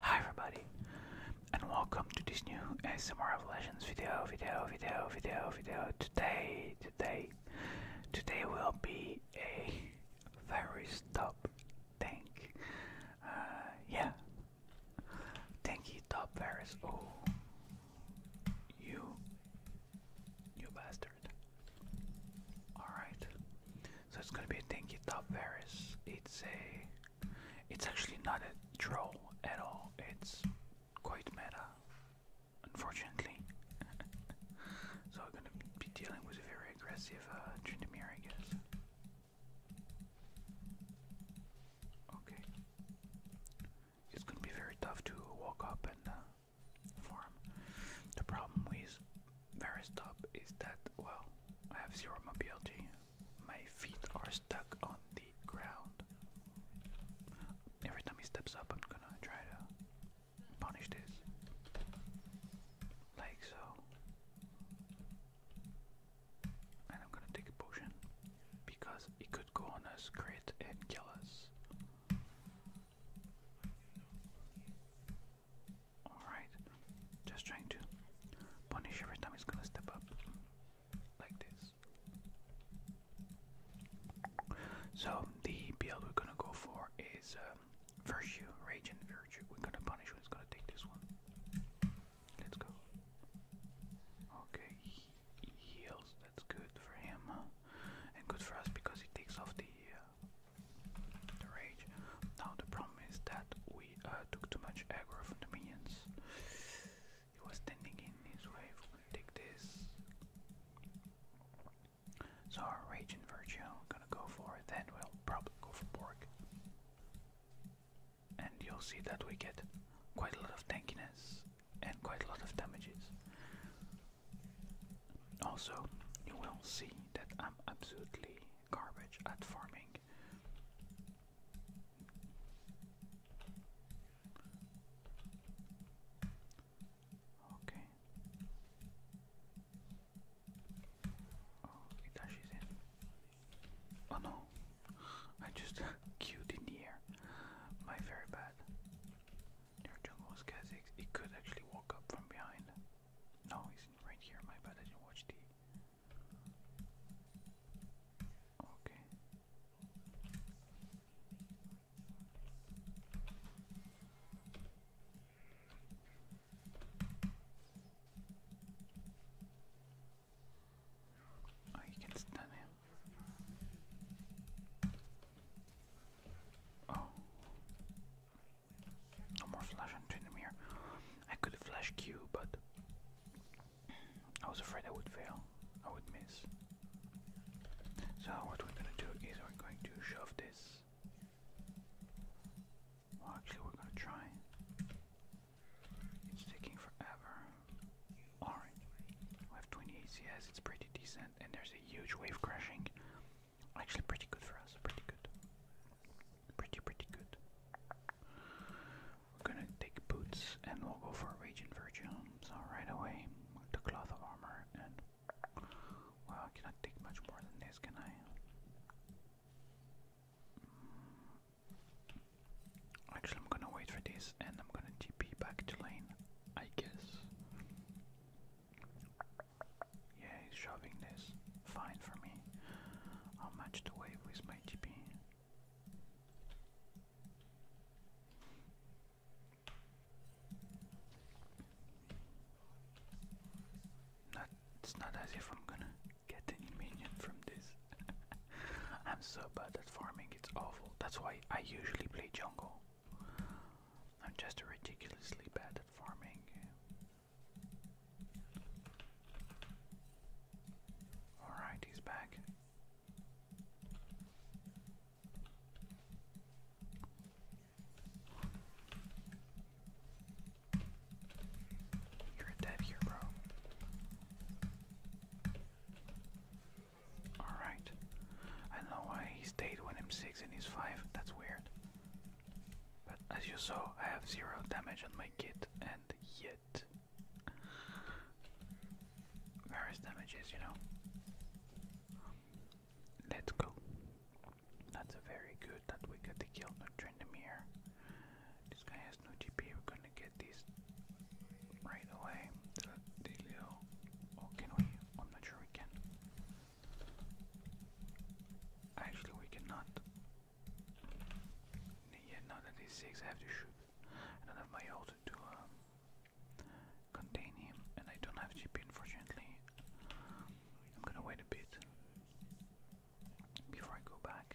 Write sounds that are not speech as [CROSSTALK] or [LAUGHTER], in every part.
Hi everybody and welcome to this new ASMR Legends video, video, video, video, video. Today, today, today will be a very top tank. Uh, yeah, tanky top Varus. Oh, you, you bastard. Alright, so it's gonna be a tanky top Varus. It's a it's actually not a troll at all, it's quite meta, unfortunately. [LAUGHS] so we're gonna be dealing with a very aggressive uh, Trindamere, I guess. Okay. It's gonna be very tough to walk up and uh, farm. The problem with Varistop is that, well, I have zero mobility, my feet are stuck on the ground. Every time he steps up, I'm gonna try to punish this. Like so. And I'm gonna take a potion because it could go us, crit, and kill us. Alright, just trying to punish every time he's gonna step up like this. So, the build we're gonna go for is um, Virtue, Rage, and Virtue. We're gonna punish who's gonna take this one. Let's go. Okay, heals, that's good for him, and good for us because he takes off the, uh, the rage. Now, the problem is that we uh, took too much aggro from the minions. He was standing in his wave, take this. So our Virgil, gonna go for it, then we'll probably go for Borg. And you'll see that we get quite a lot of tankiness and quite a lot of damages. Also, you will see that I'm absolutely garbage at farming. Okay. Oh, it dashes in. Oh no, [LAUGHS] I just [LAUGHS] queued in the My very bad. Your jungle was It could actually walk up from behind. No, he's right here. My bad, I didn't watch the Okay. Oh, you can stun him. Oh. No more flash into the mirror. I could flash Q, but I was afraid I would fail. I would miss. So what we're gonna do is we're going to shove this. actually, we're gonna try. It's taking forever. Orange. we have 20 ACS, it's pretty decent, and there's a huge wave crashing. Actually, pretty good for us, pretty good. Pretty, pretty good. We're gonna take boots and we'll go for Raging Virtue. So right away, the cloth of armor and well, I cannot take much more than this, can I? Mm. Actually, I'm gonna wait for this and I'm gonna TP back to lane, I guess. Yeah, shoving this. Fine for me. I'll match the wave with my TP. Not, it's not as if I'm gonna get any minion from this. [LAUGHS] I'm so bad at farming, it's awful. That's why I usually play jungle. I'm just ridiculously bad at farming. Alright, he's back. You're dead here, Alright. I know why he stayed when i 6 and he's 5. That's weird. But as you saw, I have zero damage on my kid and yet. Various damages, you know. Let's go. That's very good that we got the kill, not Trendemir. This guy has no GP, we're gonna get this right away. The Delio. can we? I'm not sure we can. Actually, we cannot. Yeah, now that he's 6, I have to shoot. I don't have my ult to um, contain him, and I don't have GP unfortunately. I'm gonna wait a bit before I go back.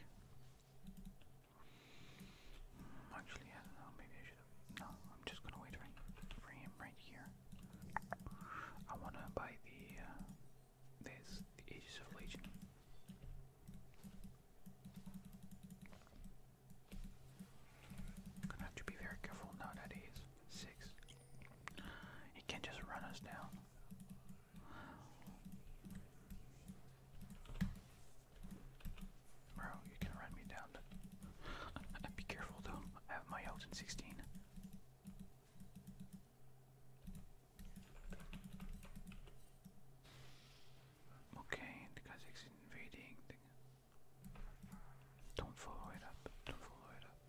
Hmm, actually, I don't know, maybe I should No, I'm just gonna wait right him right here. I wanna buy the. Uh, there's the ages of Legion. Gonna have to be very careful now that he six. He can just run us down. Bro, you can run me down. [LAUGHS] be careful though, I have my out 16. Okay, the Kazakhs invading. don't follow it up. Don't follow it up.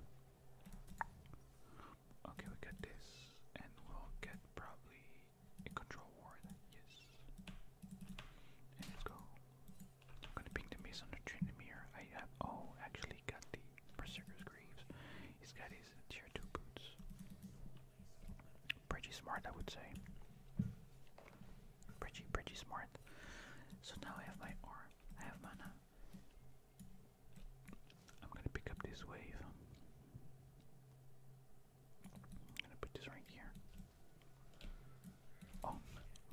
Okay, we got this, and we'll get probably a control ward. Yes. let's go. I'm gonna ping the mace on the Trinomir. I Oh, actually got the Berserker's Greaves. He's got his tier 2 boots. Pretty smart, I would say. Pretty, pretty smart. So now I have my I have mana. I'm gonna pick up this wave. I'm gonna put this right here. Oh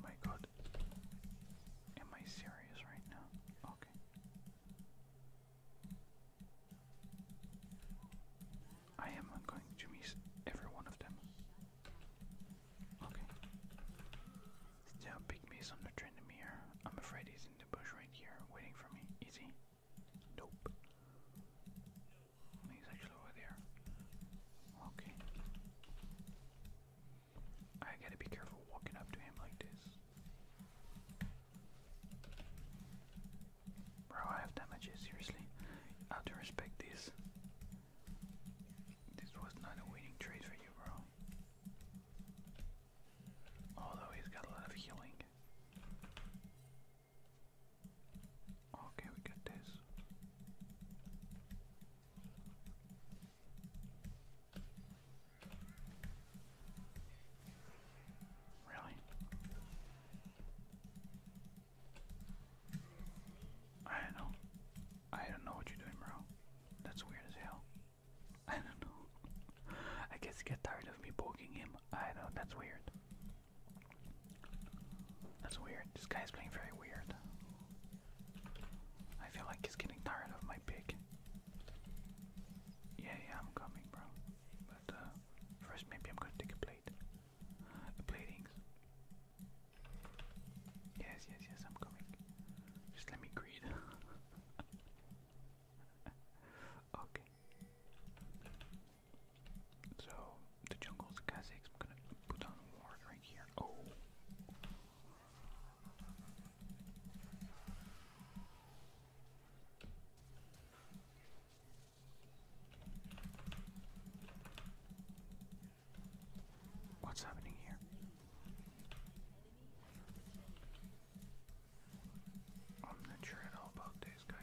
my god. Am I serious right now? Okay. I am going to miss every one of them. Okay. Still big miss on the Trendomir. I'm afraid he's in the bush right here, waiting for me. Is Nope. He's actually over there. Okay. I gotta be careful walking up to him like this. Bro, I have damages, seriously. I to respect this. This was not a winning trade for you, bro. Although he's got a lot of healing. Okay, we got this. Really? I don't know. I don't know what you're doing, bro. That's weird as hell. [LAUGHS] I don't know. I guess he got tired of me poking him. I know, that's weird. That's weird. This guy's playing very weird. I feel like he's getting tired of my pick. Yeah, yeah, I'm coming, bro. But uh, first, maybe I'm gonna take a plate. A platings. Yes, yes, yes, I'm coming. Just let me greed. [LAUGHS] okay. So the jungle's Kha'Zix. I'm gonna put on ward right here. Oh. What's happening here? I'm not sure at all about this, guys.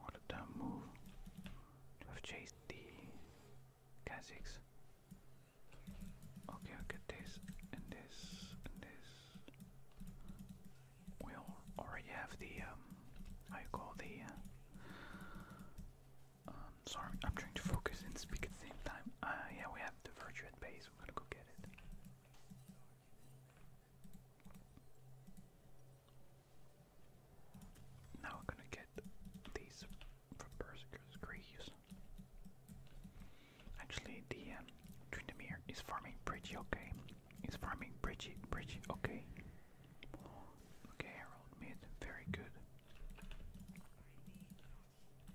What a dumb move to have chased the Kazakhs. Okay, I'll this and this and this. We already have the, um, how call the, uh, um, sorry, I'm trying to focus and speak at the same time. Uh, yeah, we have the virtue at base, we're gonna go get it. Now we're gonna get these from Berserker's Greaves. Actually, DM um, is farming Bridget. okay. He's farming pretty, pretty okay. Okay, Herald mid, very good.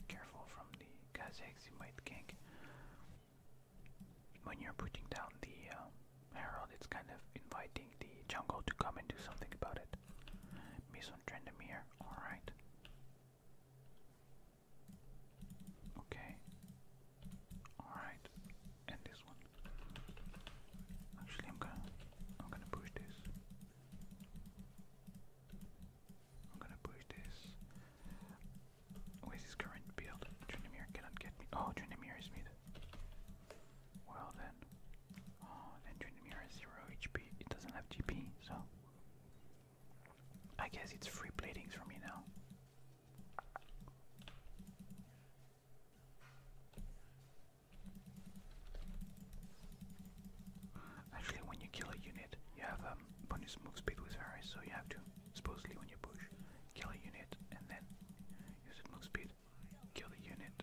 Careful from the Kazakhs, you might gank. When you're putting down the um, Harold, it's kind of inviting the jungle to come and do something about it. Mason Trendemir, alright. Okay. Alright. And this one. Actually I'm gonna I'm gonna push this. I'm gonna push this. With his current build, Trendemir cannot get me. Oh Trendemir is mid. Well then. Oh, then Trindamere has 0 HP. It doesn't have GP, so. I guess it's free platings for me now. Actually, when you kill a unit, you have um, bonus move speed with Varys, so you have to, supposedly when you push, kill a unit and then use it move speed. Kill the unit.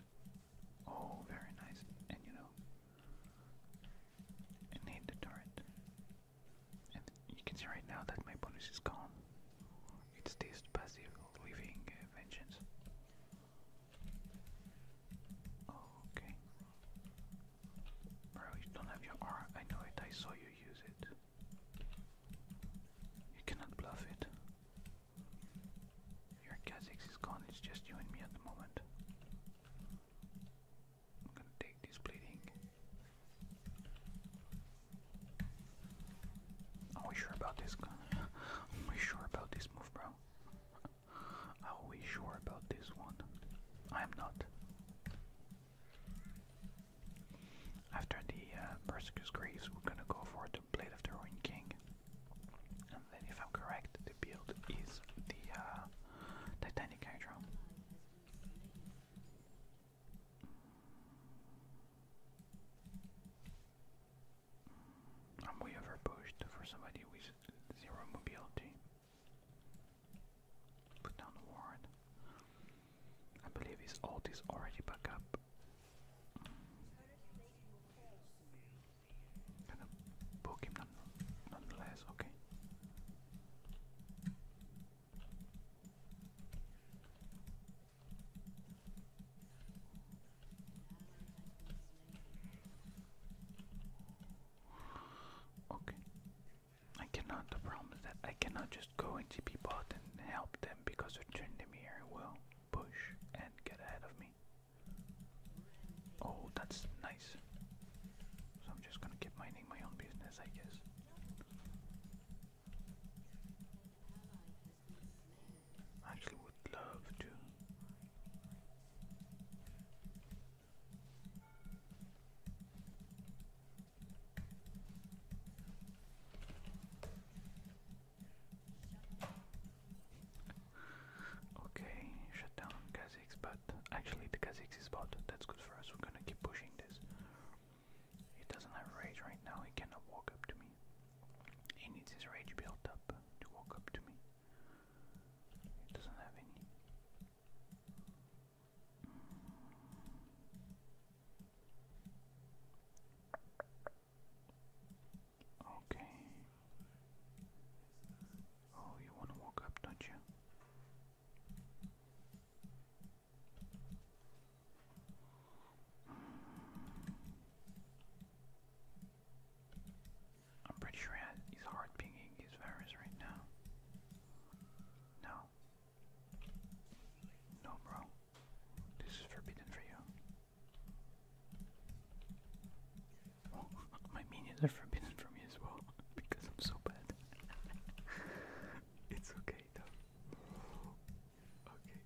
Oh, very nice. And you know, and hit the turret. And you can see right now that my bonus is gone. It's this passive living uh, vengeance. Okay. Bro, you don't have your R. I know it, I saw you use it. You cannot bluff it. Your Kha'Zix is gone, it's just you and me at the moment. I'm gonna take this bleeding. Are we sure about this? [LAUGHS] Are we sure about this move, bro? [LAUGHS] Are we sure about this one? I am not. After the uh, Graves, we're gonna go for the the Blade of the Ruined King. And then, if I'm correct, the build is the uh, Titanic Hydra. am way overpushed for somebody with zero mobility. Put down the ward. I believe his old is already back up. Gonna poke him nonetheless, okay. Okay. I cannot, I promise that I cannot just go into people out and help them because they're Trindamere will push and get ahead of me. Oh, that's nice. So I'm just gonna keep minding my own business, I guess. actually would love to. Okay, shut down Kha'Zix, but actually the Kha'Zix is bot. That's good for us. We're gonna keep pushing this. He doesn't have rage right now. He cannot walk up to me. He needs his rage built up to walk up to me. He doesn't have any. Okay. Oh, you want to walk up, don't you? I'm pretty sure he's hard pinging his virus right now. No, no, bro. This is forbidden for you. Oh, [LAUGHS] my minions are forbidden for me as well [LAUGHS] because I'm so bad. [LAUGHS] it's okay though. Okay.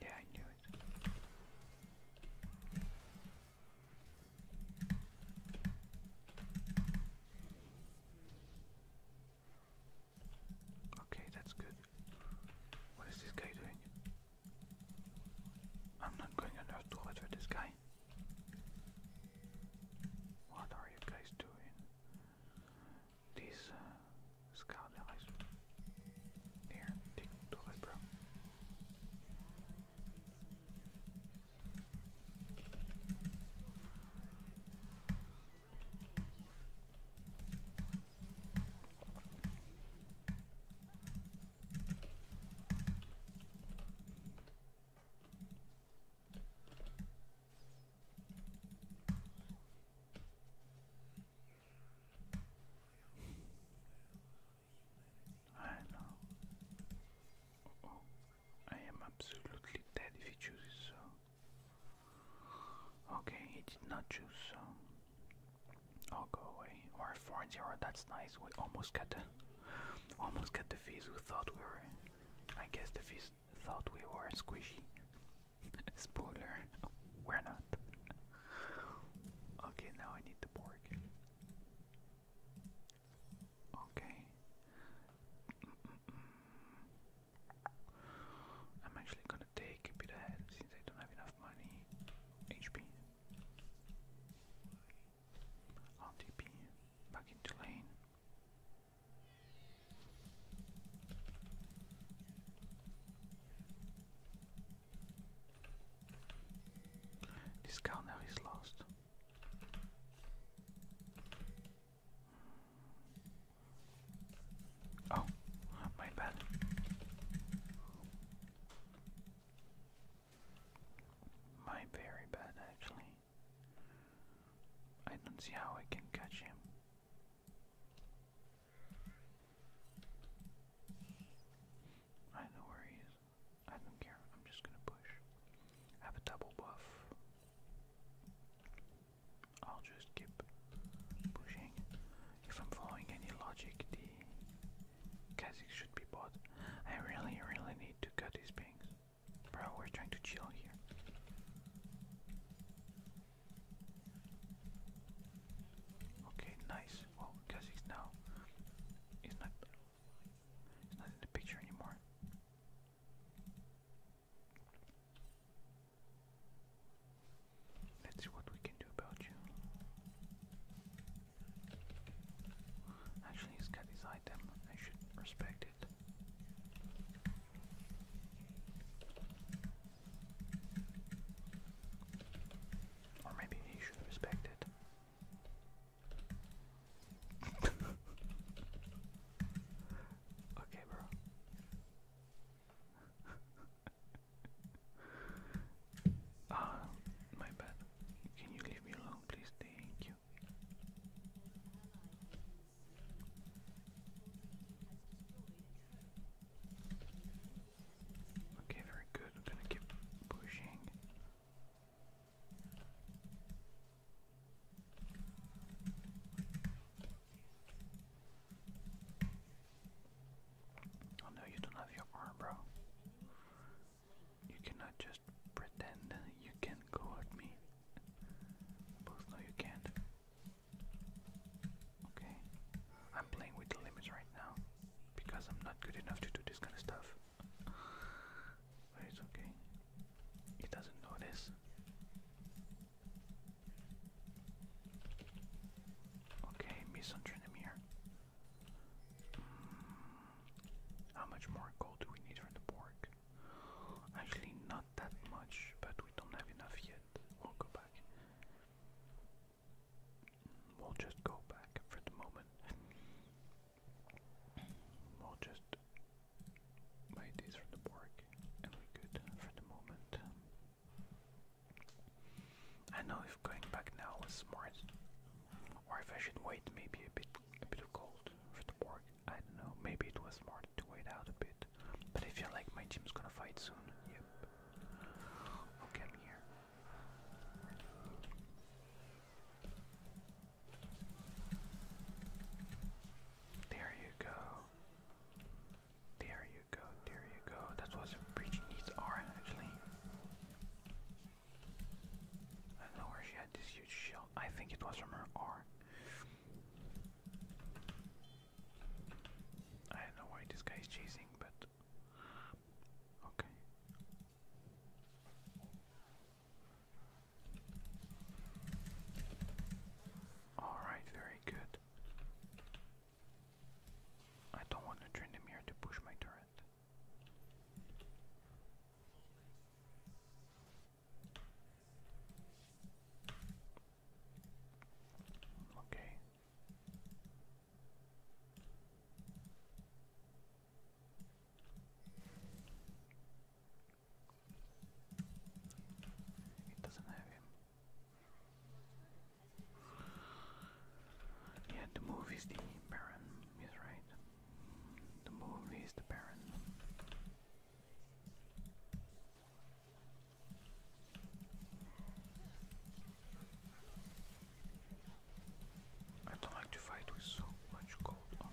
Yeah, I knew it. Okay, that's good. What is this guy doing? I'm not going on Earth to this guy. What are you guys doing? This uh, Here, take to it, bro. I know. oh. I am absolutely dead if he chooses so. Okay, he did not choose so. Oh, go away. Or 4 0, that's nice. We almost got the, almost got the fizz thought we were. I guess the fizz thought we were squishy. [LAUGHS] Spoiler, we're not. okay, now I need the pork. Okay. I'm actually gonna take a bit ahead since I don't have enough money. HP. RTP. Back into lane. This counter is lost. Oh, my bad. My very bad, actually. I don't see how I can catch him. I know where he is. I don't care. I'm just gonna push. I have a double buff. I'll just keep pushing. If I'm following any logic, the Kha'Zix should be bought. I really, really need to cut these pings. Bro, we're trying to chill here. Okay, nice. Well, Kha'Zix now is not, it's not in the picture anymore. That's what we can do about you. Actually, he's got his item. I should respect it. Or maybe he should respect it okay, bro. Ah, my bad. Can you leave me alone, please? Thank you. Okay, very good. I'm gonna keep pushing. Oh no, you don't have your arm, bro. You cannot just pretend you can go at me. Both know you can't. Okay. I'm playing with the limits right now because I'm not good enough to do this kind of stuff it's okay. He doesn't notice. Okay, Misuntrinemir. Mm, how much more gold do we need for the pork? Actually, not that much, but we don't have enough yet. We'll go back. We'll just go back for the moment. We'll just buy these from the park and we're good for the moment. I know if going back now was smart, or if I should wait maybe a bit a bit of gold for the park. I don't know, maybe it was smart to wait out a bit. But I feel like my gym's gonna fight soon. Yep. Okay, here. There you go. There you go, there you go. That's what the breach needs are actually. I know where she had this huge shell. I think it was from her R. I don't know why this guy is chasing, but okay. Alright, very good. I don't want to drain the mirror to push my turret. Okay. It doesn't have him. Yeah, the move is the Baron, is right. The move is the Baron. I don't like to fight with so much gold on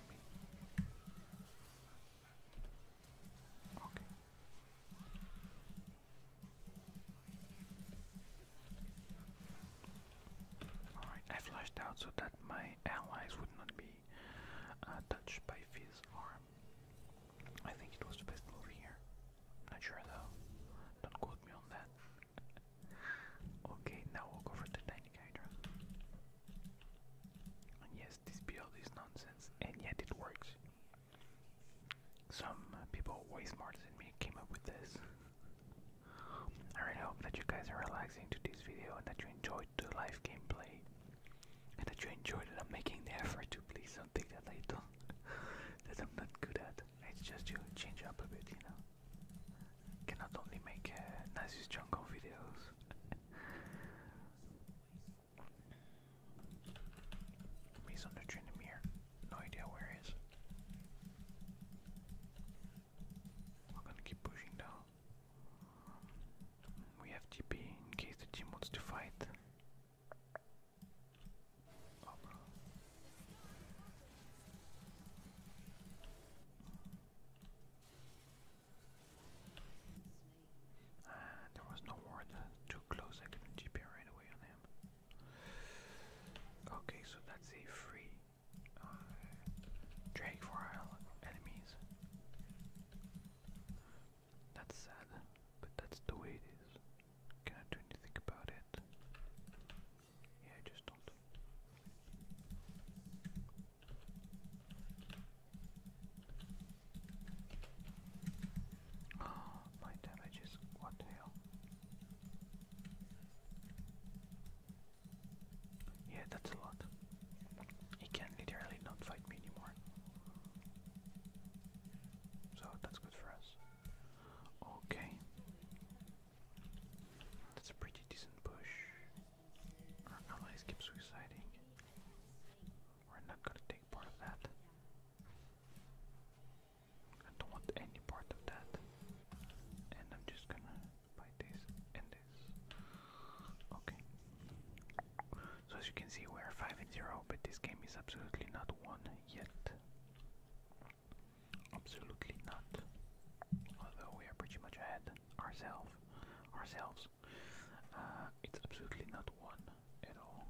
I flashed out so that my allies would not be uh, touched by Fizz's arm. I think it was the best move here. Not sure though. Don't quote me on that. okay, now we'll go for the tank yes, this build is nonsense, and yet it works. Some uh, people way smarter than me came up with this. I really hope that you guys are relaxing to this video and that you enjoyed the live gameplay. And that you enjoyed that I'm making the effort to play something that I don't, [LAUGHS] that I'm not good at. It's just to change up a bit, you know. cannot only make uh, jungle videos. He's under Trinamere. No idea where he is. We're gonna keep pushing down. We have TP in case the team wants to fight there was no ward too close, I couldn't GP right away on him. Okay, so that's a free uh, for our enemies. That's sad, but that's the way it is. Cannot do anything about it. Yeah, just don't. Oh, my damage what hell? Yeah, that's a lot. He can not literally not fight me anymore. So that's good for us. Okay. That's pretty decent push. Our allies keep suiciding. We're not gonna take part of that. I don't want any part of that. And I'm just gonna buy this and this. Okay. So as you can see we're 5 and 0, but this game is absolutely not won yet. Absolutely not. Although we are pretty much ahead ourselves ourselves, uh, it's absolutely not one at all.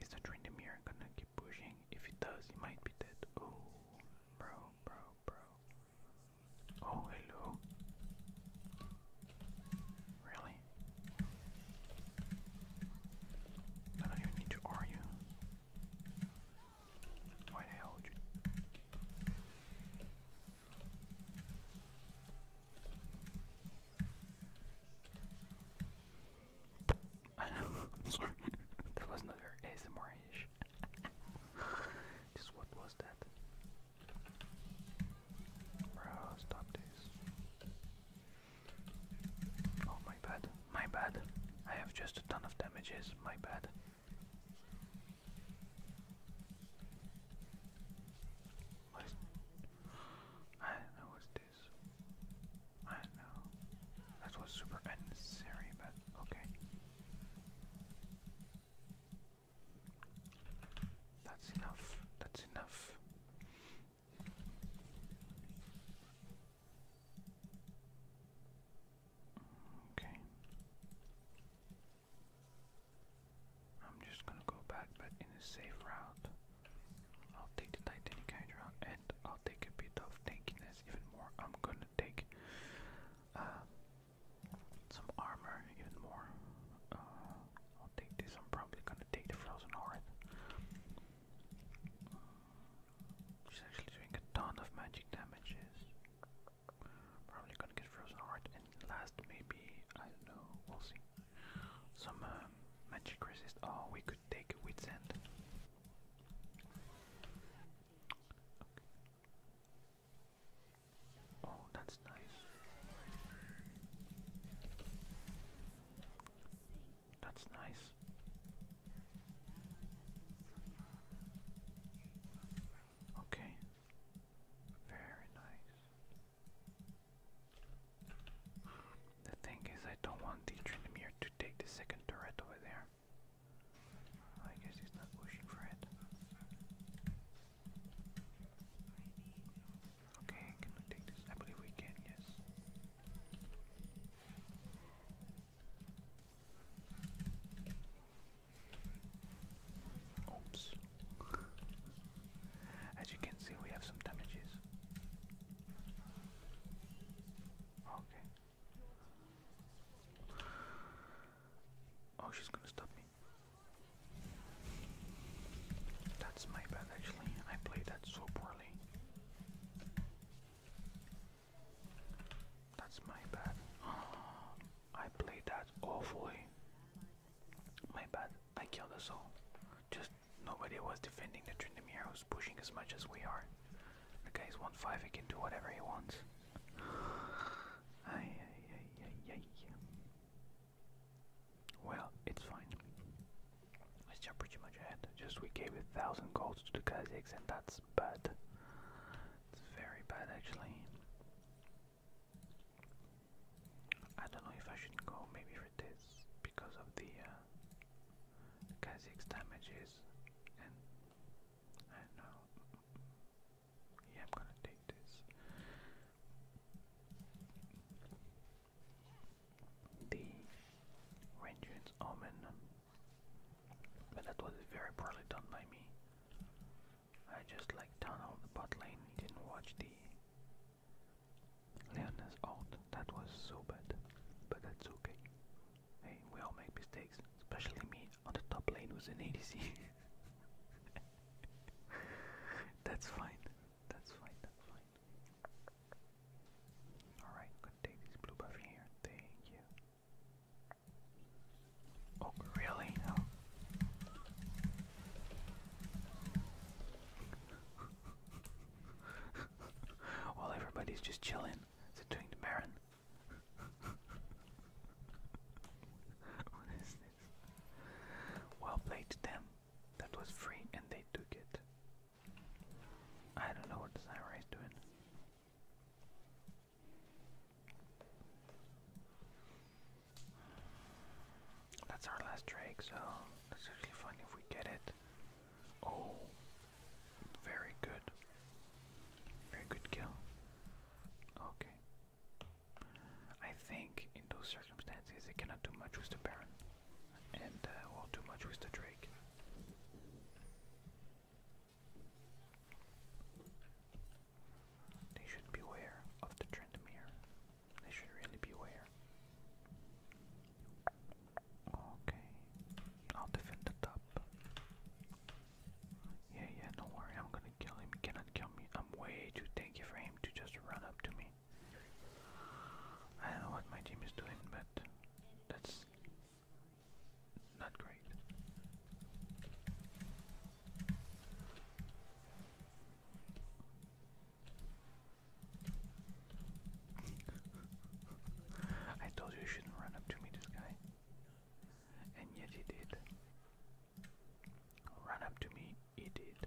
Is the train the mirror gonna keep pushing? If it does, it might be dead. Oh, bro, bro, bro. Oh, hello. Really? I don't even need to argue. Why hell you? I know, [LAUGHS] sorry. that was not very ASMR-ish. [LAUGHS] Just what was that? Bro, stop this. Oh, my bad, my bad. I have just a ton of damages, my bad. I know what's this. I know. That was super unnecessary, but okay. That's enough. That's enough. Okay. I'm just gonna go back, but in a safe route. I'll take the Titanic Hydra and I'll take a bit of tankiness even more. I'm gonna take uh, some armor even more. Uh, I'll take this. I'm probably gonna take the Frozen Heart. She's actually doing a ton of magic damages. Probably gonna get frozen heart and last maybe I don't know, we'll see. Some um, magic resist. Oh, we could take a wit's Oh, that's nice. That's nice. Okay. Very nice. The thing is, I don't want the Trinomir to take the second turret over there. I guess he's not pushing for it. Okay, can take this? I believe we can, yes. Oops. As you can see, we have some damages. Okay. Oh, she's gonna stop me. That's my bad, actually. I played that so poorly. That's my bad. [GASPS] I played that awfully. My bad. I killed us all. Just nobody was defending the Trindamere who's pushing as much as we are. The guy's 1-5, he can do whatever he wants. [SIGHS] Ay, ay, ay, ay, ay. Well, it's fine. Russia pretty much ahead. Just we gave a thousand goals to the Kazakhs, and that's bad. It's very bad, actually. I don't know if I should go maybe for this because of the uh, damages, and I know. Yeah, I'm gonna take this. The Rangers Omen but that was very poorly done by me. I just like turned the bot lane, didn't watch the Leon's out. That was so bad. But that's okay. Hey, we all make mistakes, especially me on the top lane was an ADC. [LAUGHS] that's fine. That's fine, that's fine. Alright, I'm gonna take this blue buff here. Thank you. Oh, really? Oh. [LAUGHS] While everybody's just chilling, is it doing the Baron? [LAUGHS] what is this? Well played them. That was free and they took it. I don't know what the Samurai is doing. That's our last drake, so that's actually fun if we get it. Oh, very good. Very good kill. Okay. I think in those circumstances, they cannot do much with the Baron and uh, too much was Drake. They should beware of the Trendemir. They should really beware. Okay, I'll defend the top. Yeah, yeah, do worry, I'm gonna kill him. He cannot kill me. I'm way too tanky for him to just run up to me. I don't know what my team is doing, but that's not great. I told you you shouldn't run up to me, this guy. And yet he did. Run up to me, he did.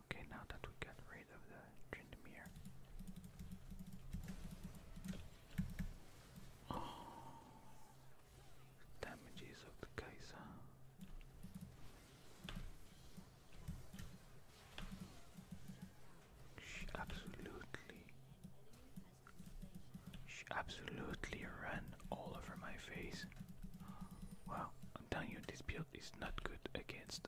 Okay, now that we got rid of the Trindamere. Oh, damages of the Kaiser. She absolutely, she absolutely ran all over my face. Wow, I'm telling you, this build is not good against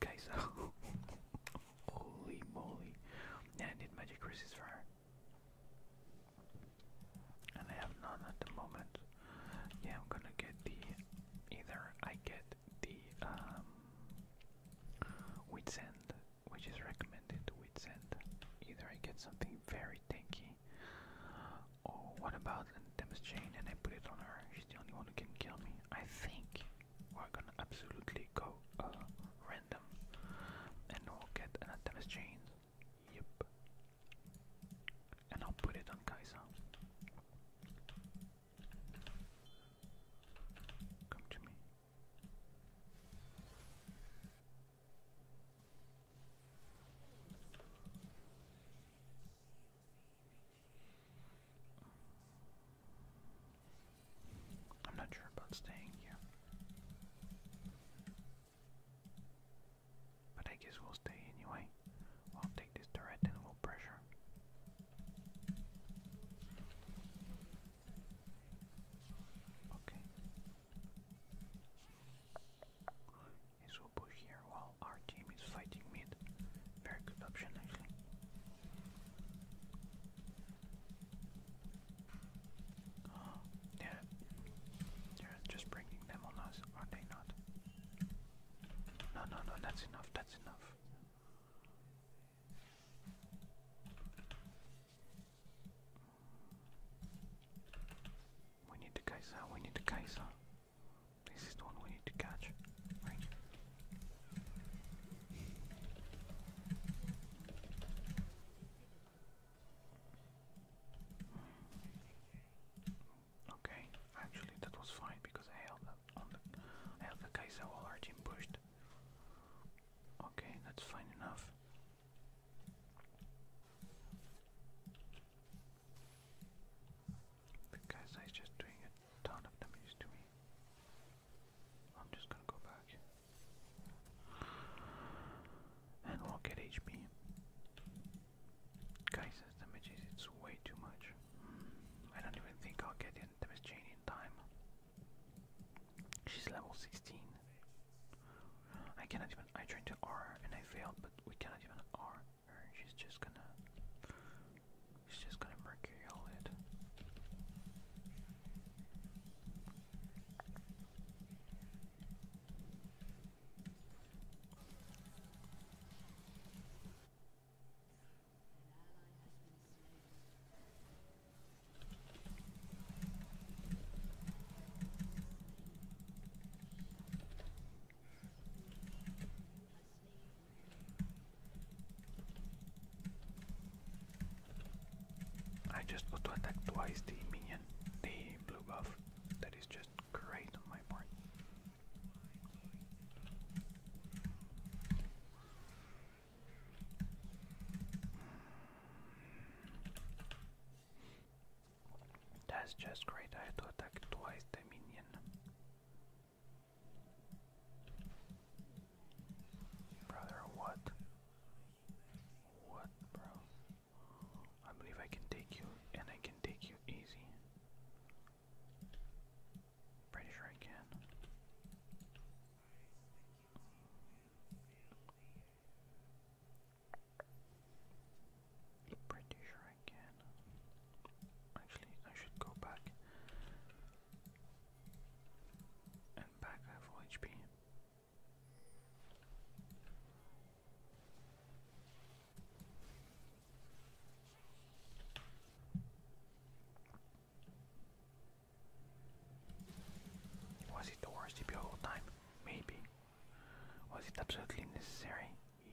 Kaiser. [LAUGHS] Holy moly. And I need magic resist for her. And I have none at the moment. Yeah, I'm gonna get the either I get the um wit's end, which is recommended wit's end. Either I get something very tanky. Or what about a Demis chain and I put it on her? She's the only one who can kill me. I think we're gonna absolutely go uh, random and we'll get an Artemis Chains. Yep. And I'll put it on Kaiser. Come to me. I'm not sure about staying here. But I guess we'll stay anyway. we'll take this turret and we'll pressure. Okay. we'll push here while our team is fighting mid. Very good option actually. Oh, [GASPS] yeah. just bringing them on us, are they not? No, no, no, that's enough, that's enough. We need the Kaiser, we need the Kaiser. This is the one we need to catch. Thank Okay, actually that was fine because I held the I held the Kaiser while our pushed. Okay, that's fine enough. The Kaiser is just doing a ton of them to me. I'm just gonna go back. And we'll get HP. Guys, this damage is it's way too much. I don't even think I'll get in damage chain in time. She's level 16. I cannot even I tried to R and I failed, but we cannot even R her. She's just gonna She's just gonna mercurial it. I just got to attack twice the minion, the blue buff. That is just great on my part. That's just great. I had to attack twice the minion. Brother, what? What, bro? I believe I can take you, and I can take you easy. Pretty sure I can. Pretty sure I can. Actually, I should go back and back I HP. Was it the worst DP all time? Maybe. Was it absolutely necessary?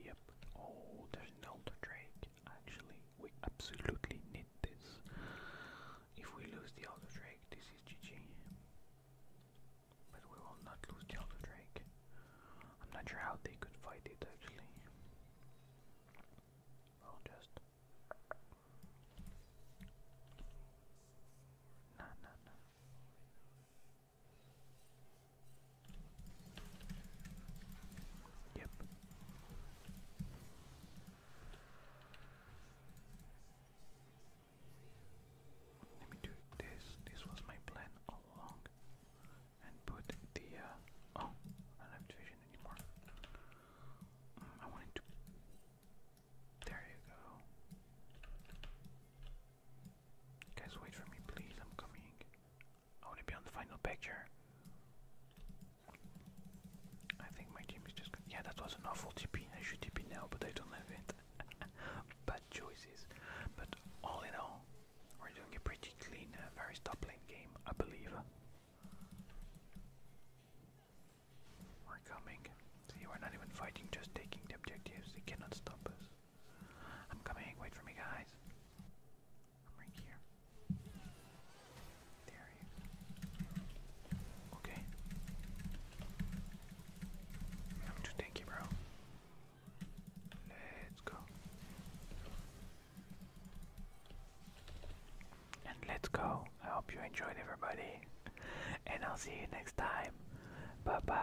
Yep. Oh, there's an Elder Drake, actually. We absolutely need this. If we lose the other Drake, this is GG. But we will not lose the other Drake. I'm not sure how they could fight it actually. Well, just. Nah, nah, nah. Yep. Let me do this. This was my plan all along. And put the. Uh, oh, I do anymore. Mm, I wanted to. There you go. Guys, wait for me, please. I'm coming. I want the final picture. I think my team is just. Yeah, that was an awful TP. I should TP now, but I don't have it. [LAUGHS] Bad choices. But all in all, we're doing a pretty clean, uh, very top lane game, I believe. We're coming. See, are not even fighting, just taking the objectives. They cannot stop us. I'm coming. Wait for me, guys. I'm right here. There you Okay. I'm too tanky, bro. Let's go. And let's go. I hope you enjoyed everybody. And I'll see you next time. Bye bye.